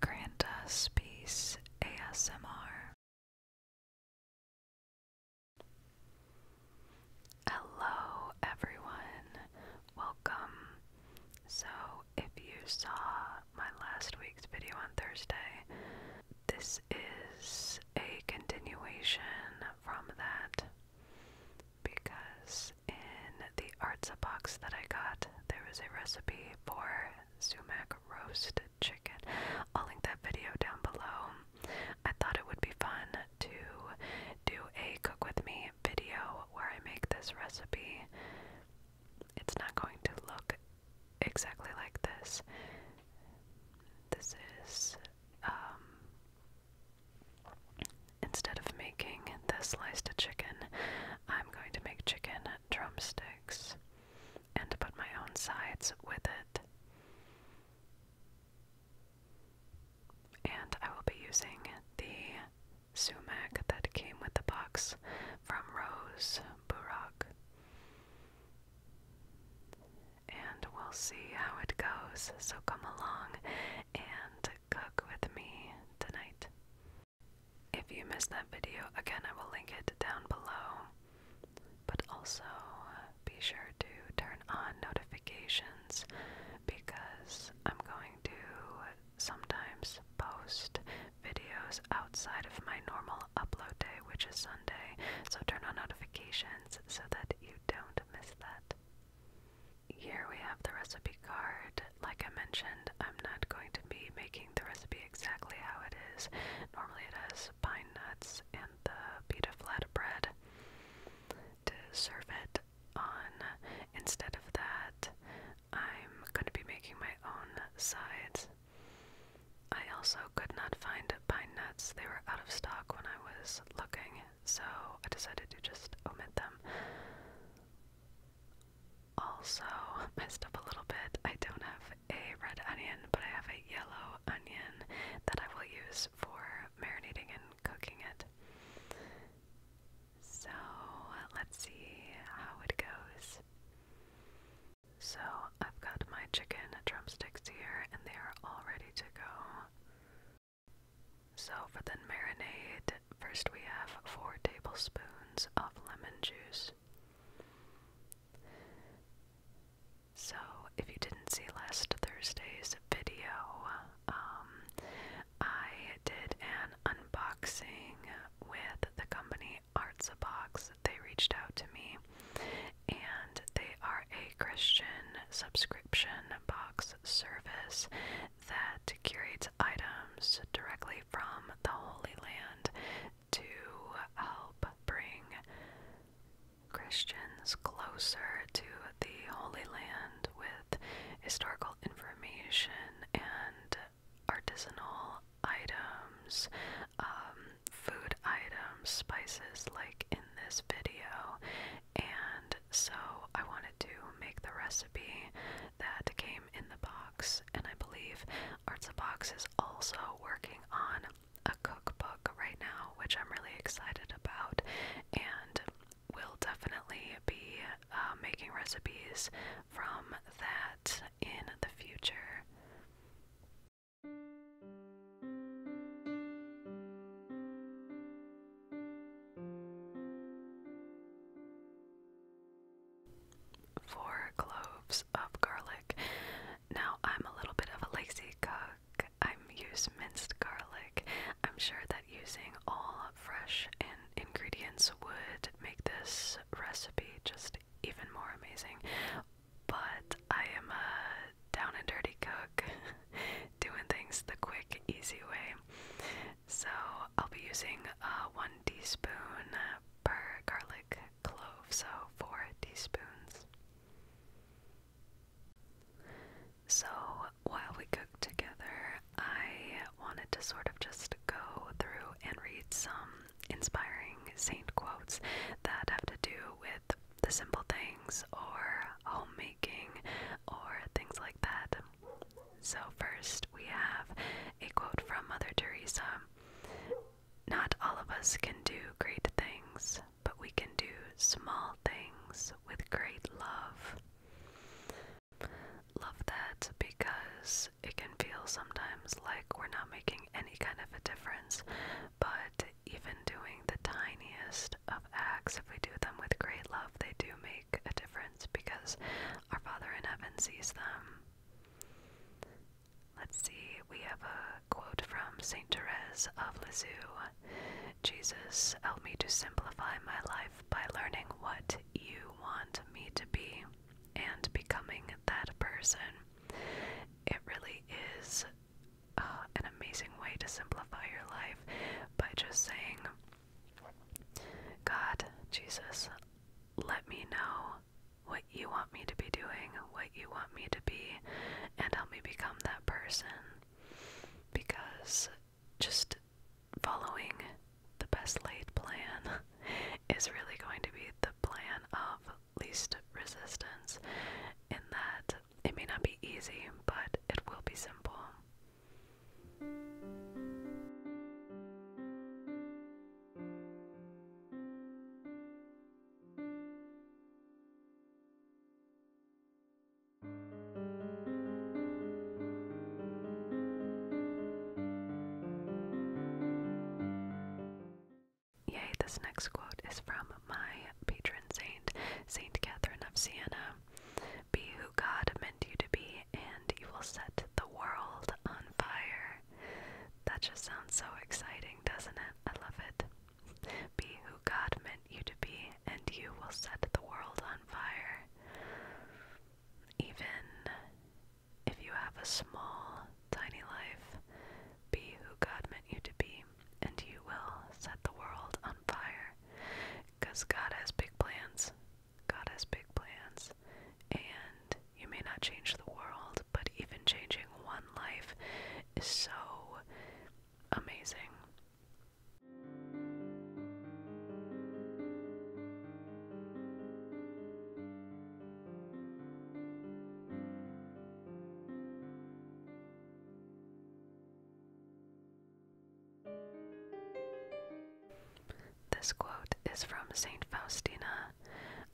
Grant us peace ASMR. Hello, everyone. Welcome. So, if you saw my last week's video on Thursday, this is a continuation from that because in the arts box that I got, there was a recipe for sumac roasted chicken. I'll link that video down below. I thought it would be fun to do a cook with me video where I make this recipe. It's not going to look exactly like this. This is, um, instead of making the sliced chicken, I'm going to make chicken drumsticks and put my own sides with it. And I will be using the sumac that came with the box from Rose Burak. And we'll see how it goes, so come along and cook with me tonight. If you missed that video, again, I will link it down below. But also uh, be sure to turn on notifications because I'm going to sometimes post videos outside of my normal upload day, which is Sunday. So turn on notifications so that you don't miss that. Here we have the recipe card. Like I mentioned, I'm not going to be making the recipe exactly how it is. Normally it has pine nuts and the pita flatbread to serve it on. Instead of that, I'm going to be making my own sides. I also could not find pine nuts. They were out of stock when I was looking, so I decided to just omit them. Also, messed up a little bit. I don't have a red onion, but I have a yellow onion that I will use for marinating and cooking it. So, let's see how it goes. So, I've got my chicken drumsticks here, and they are all ready to go. So, for the marinade, first we have 4 tablespoons of lemon juice. So, if you didn't see last Thursday's video, um, I did an unboxing with the company Arts a Box. They reached out to me, and they are a Christian subscription box service that curates items directly from the Holy Land to help bring Christians closer to the Holy Land with historical information and artisanal items, um, food items, spices like in this video. And so I wanted to make the recipe that came in the box, and I believe Arts is also working on a cookbook right now, which I'm really excited about, and will definitely be uh, making recipes from that in the future. Four cloves of garlic. Now, I'm a little bit of a lazy cook. I use minced garlic. I'm sure that using all fresh ingredients would make this recipe just even more amazing. But I am a down and dirty cook, doing things the quick, easy way. So I'll be using uh, one teaspoon per garlic clove, so four teaspoons. So while we cook together, I wanted to sort of just go through and read some inspiring saint quotes that have to do with the simple things or homemaking or things like that. So, first, we have a quote from Mother Teresa Not all of us can do great things, but we can do small things with great love. Love that because it can feel sometimes like we're not making any kind of a difference, but even doing the tiniest of acts, if we do them with great love, they do make a difference because our Father in heaven sees them. Let's see, we have a quote from St. Therese of Lisieux Jesus, help me to simplify my life by learning what you want me to be and becoming that person. It really is uh, an amazing way to simplify your life by just saying, God, Jesus, let me know what you want me to be doing, what you want me to be, and help me become that person. Because just following the best laid plan is really going to be the plan of least resistance, in that it may not be easy, but it will be simple. Yay, this next quote is from my patron saint, Saint Catherine of Siena. Be who God meant you to be, and you will set the world on fire. That just sounds so exciting, doesn't it? I love it. Be who God meant you to be, and you will set the world on fire. Even if you have a small, tiny life, be who God meant you to be, and you will set the world on fire. Because God has big plans. God has big plans, and you may not change the world, but even changing one life is so amazing. This quote is from St. Faustina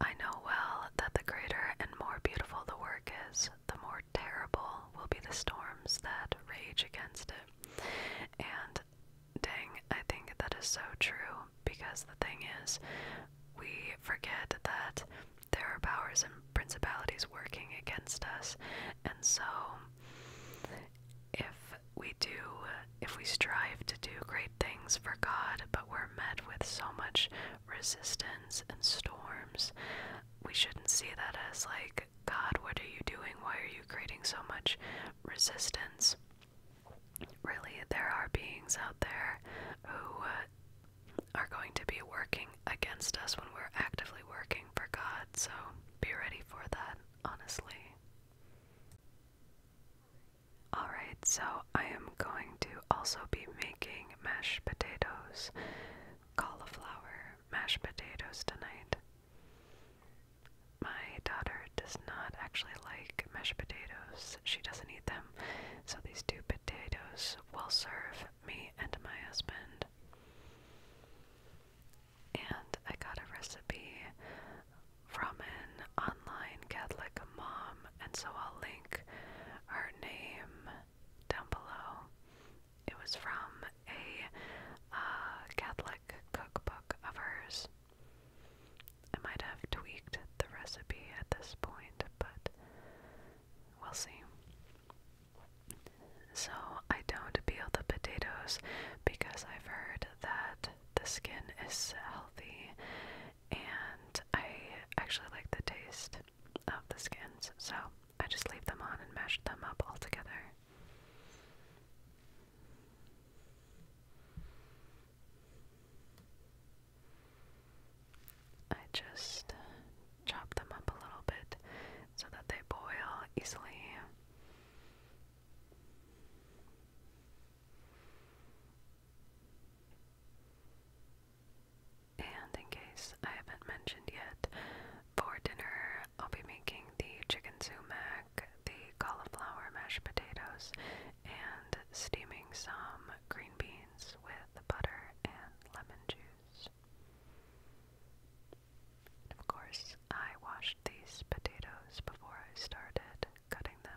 I know well that the greater and more beautiful the work is, the more terrible will be the storms that rage against it. And dang, I think that is so true because the thing is, we forget that there are powers and principalities working against us, and so if we do, if we strive to do great things for God, but we're met with so much resistance and storms, we shouldn't see that as like, God, what are you doing? Why are you creating so much resistance? Really, there are beings out there who uh, are going to be working against us when we're actively working for God, so be ready for that honestly. Alright, so I am going to also be making mashed potatoes, cauliflower mashed potatoes tonight. My daughter does not actually like mashed potatoes, she doesn't eat them, so these two potatoes will serve me and my husband and I got a recipe from an online Catholic mom, and so I'll link her name down below. It was from a uh, Catholic cookbook of hers. I might have tweaked the recipe at this point, but we'll see. So I don't peel the potatoes because I've heard that the skin is healthy and I actually like the taste of the skins. So I just leave them on and mash them up all together. I just chop them up a little bit so that they boil easily. And in case I haven't mentioned yet, for dinner I'll be making the chicken sumac, the cauliflower mashed potatoes, and steaming some green beans with butter and lemon juice of course, I washed these potatoes before I started cutting them.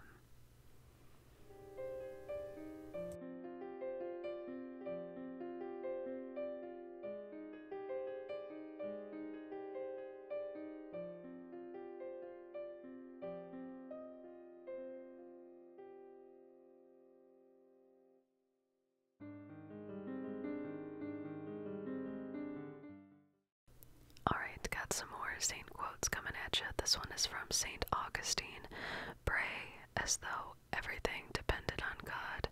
Alright, got some more Saint quotes coming at you. This one is from Saint Augustine. Pray as though everything depended on God.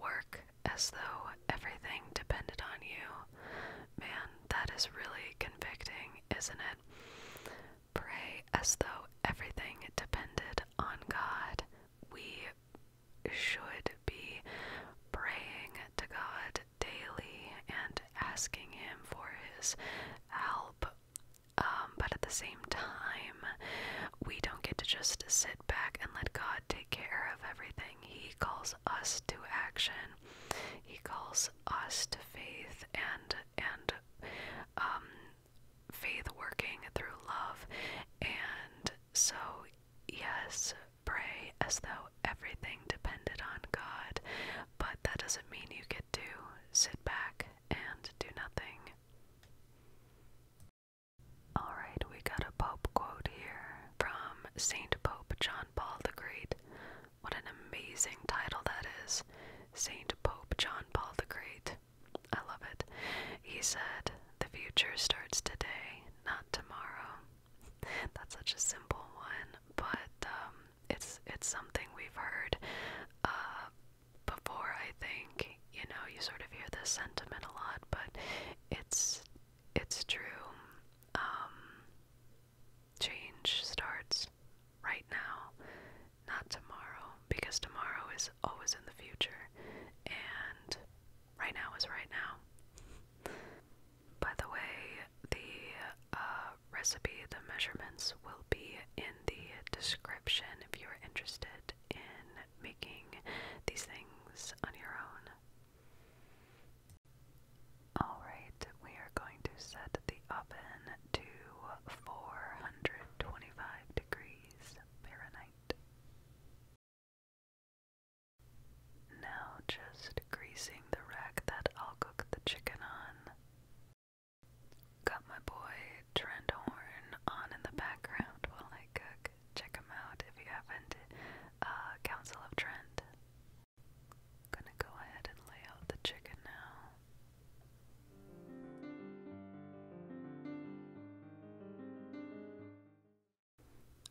Work as though everything depended on you. Man, that is really convicting, isn't it? Pray as though everything depended on God. We should be praying to God daily and asking Him for His help. Um, but at the same time, we don't get to just sit back and let God take care of everything. He calls us to action. He calls us to faith and and um, faith working through love. And so yes, pray as though everything depended on God, but that doesn't mean you could do sit back and do nothing. Alright, we got a Pope quote here from St. Pope John Paul the Great. What an amazing title that is! St. Pope John Paul the Great. I love it. He said, the future starts today, not tomorrow. That's such a simple one, but um, it's it's something we've heard uh, before. I think you know you sort of hear this sentiment a lot, but it's it's true. Um, change starts right now, not tomorrow, because tomorrow is always in the future, and right now is right now. By the way, the uh, recipe, the measurements will be in the description if you're interested in making these things on your own. Alright, we are going to set the oven to 425 degrees Fahrenheit. Now just greasing the rack that I'll cook the chicken on. Got my boy Trent Horn on in the background while I cook. Check him out if you haven't. Uh, Council of Trent. Gonna go ahead and lay out the chicken now.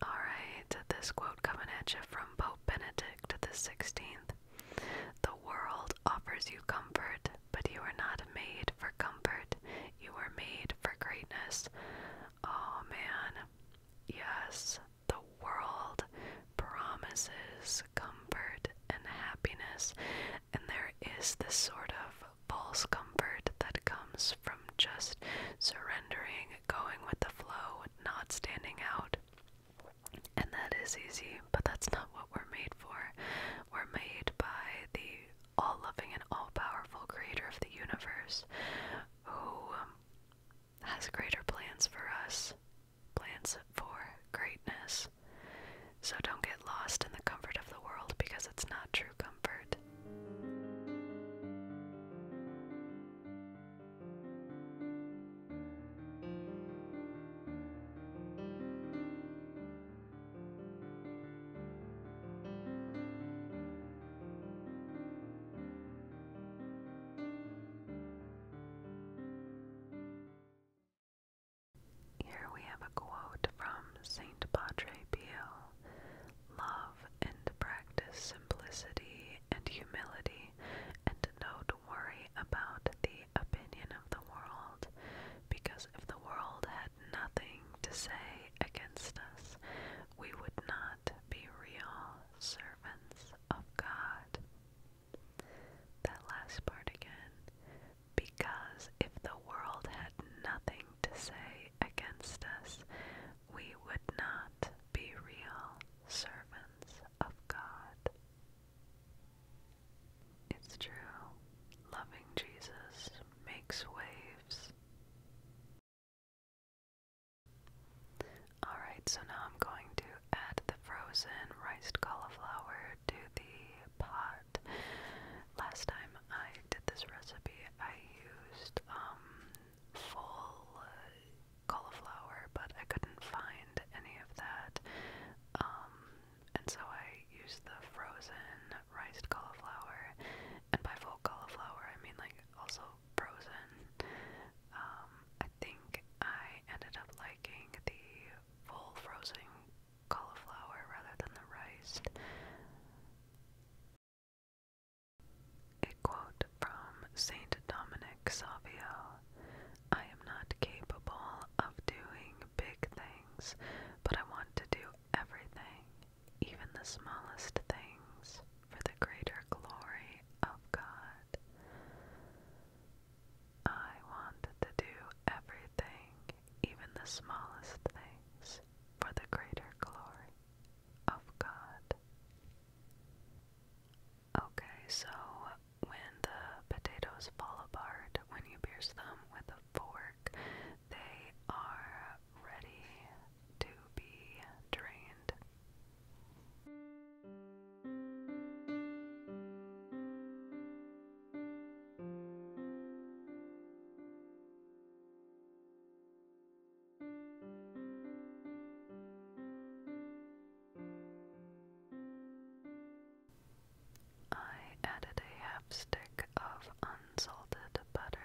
Alright, this quote coming at you from Pope Benedict the Sixteenth. The world offers you comfort, but you are not made for comfort. You are made for greatness. Oh man. Yes, the world promises comfort and happiness, and there is this sort of false comfort that comes from just surrendering, going with the flow, not standing out. And that is easy, but that's not what we're made for. We're made by the all loving and all powerful creator of the universe who um, has greater plans for us, plans for greatness. So don't get lost in the comfort of the world because it's not true comfort. Here we have a quote from Saint Padre Pio Love and practice simplicity and humility, and don't worry about the opinion of the world, because if the world had nothing to say against us, we would not be real servants of God. That last part again. Because if the world had nothing to say against us, we would not be real servants of God. It's true, loving Jesus makes waves. Alright, so now I'm going to add the frozen riced cauliflower to the pot Last time I did this recipe, I used um, full cauliflower, but I couldn't find any of that. Um, and so I used the frozen riced cauliflower. And by full cauliflower, I mean like also frozen. Um, I think I ended up liking the full frozen cauliflower rather than the rice. A quote from Saint Dominic Savio I am not capable of doing big things, but I want to do everything, even the smallest things, for the greater glory of God. I want to do everything, even the smallest things, for the greater glory of God. Okay, so when the potatoes fall apart, when you pierce them with a fork, they are ready to be drained. I added a half stick of unsalted butter.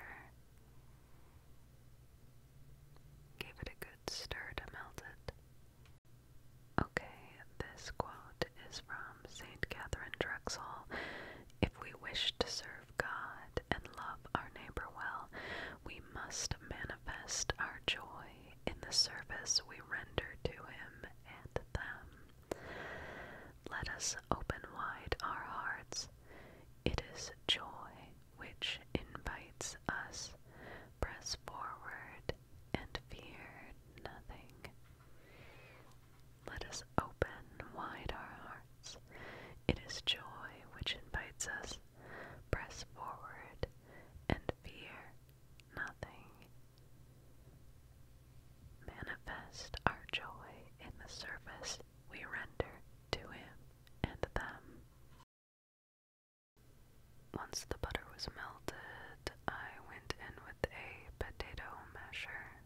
Give it a good stir to melt it. Okay, this quality quote is from St. Catherine Drexel If we wish to serve God and love our neighbor well, we must manifest our joy in the service we render to Him and them. Let us open wide our hearts. It is joy which invites us. Press forward and fear nothing. Let us open wide our hearts. It is joy which invites us. Press forward and fear nothing. Manifest our joy in the service we render to Him and them. Once the butter was melted, I went in with a potato masher.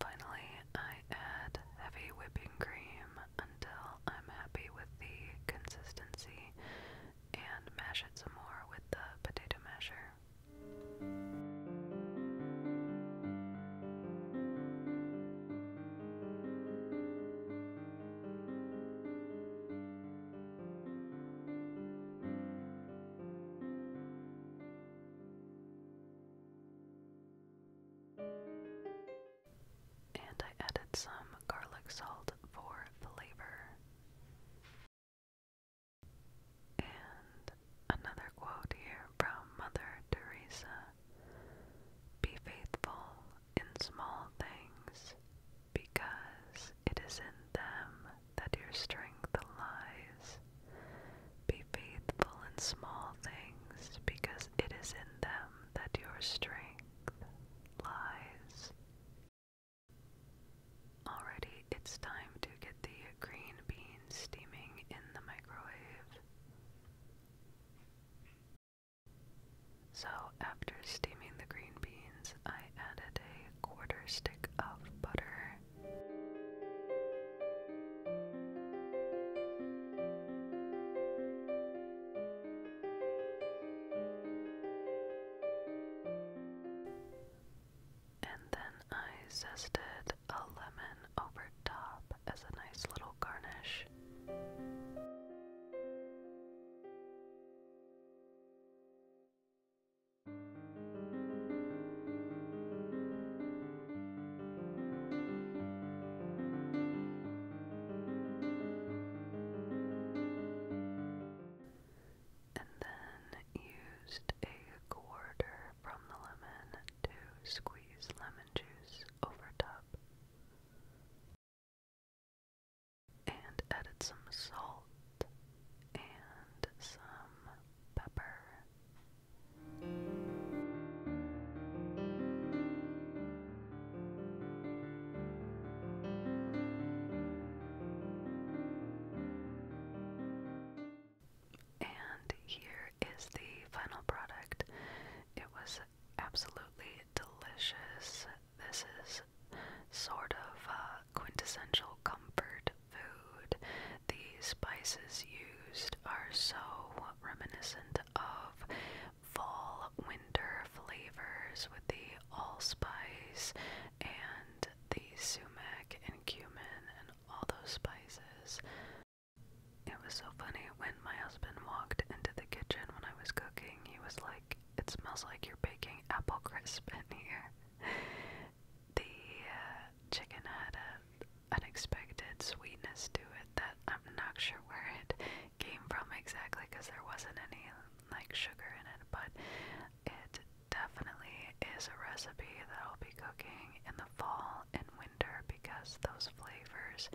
Finally, I add heavy whipping cream until I'm happy with the consistency and mash it some more with the potato masher. And I added some garlic salt for flavor. And another quote here from Mother Teresa be faithful in small things, because it is in them that your strength lies. Be faithful in small things, because it is in them that your strength lies. Already, it's time to get the green beans steaming in the microwave. So, after steaming the green beans, I added a quarter stick of butter. And then I zested a lemon over top as a nice little garnish. And then used a quarter from the lemon to squeeze lemon juice over top and added some salt and some pepper. And here is the final product. It was absolutely delicious. This is sort of uh, quintessential comfort food. These spices used are so reminiscent of fall winter flavors with the allspice and the sumac and cumin and all those spices. It was so funny when my husband walked into the kitchen when I was cooking, he was like, It smells like you're baking apple crisp in here. The uh, chicken had an unexpected sweetness to it that I'm not sure where it came from exactly because there wasn't any like sugar in it, but it definitely is a recipe that I'll be cooking in the fall and winter because those flavors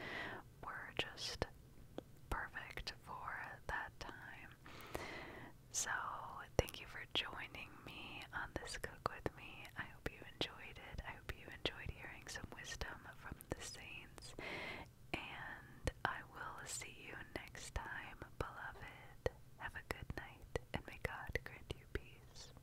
were just perfect for that time. So, thank you for joining me on this cook with me. I hope you enjoyed it. I hope you enjoyed hearing some wisdom from the saints. And I will see you next time, beloved. Have a good night, and may God grant you peace.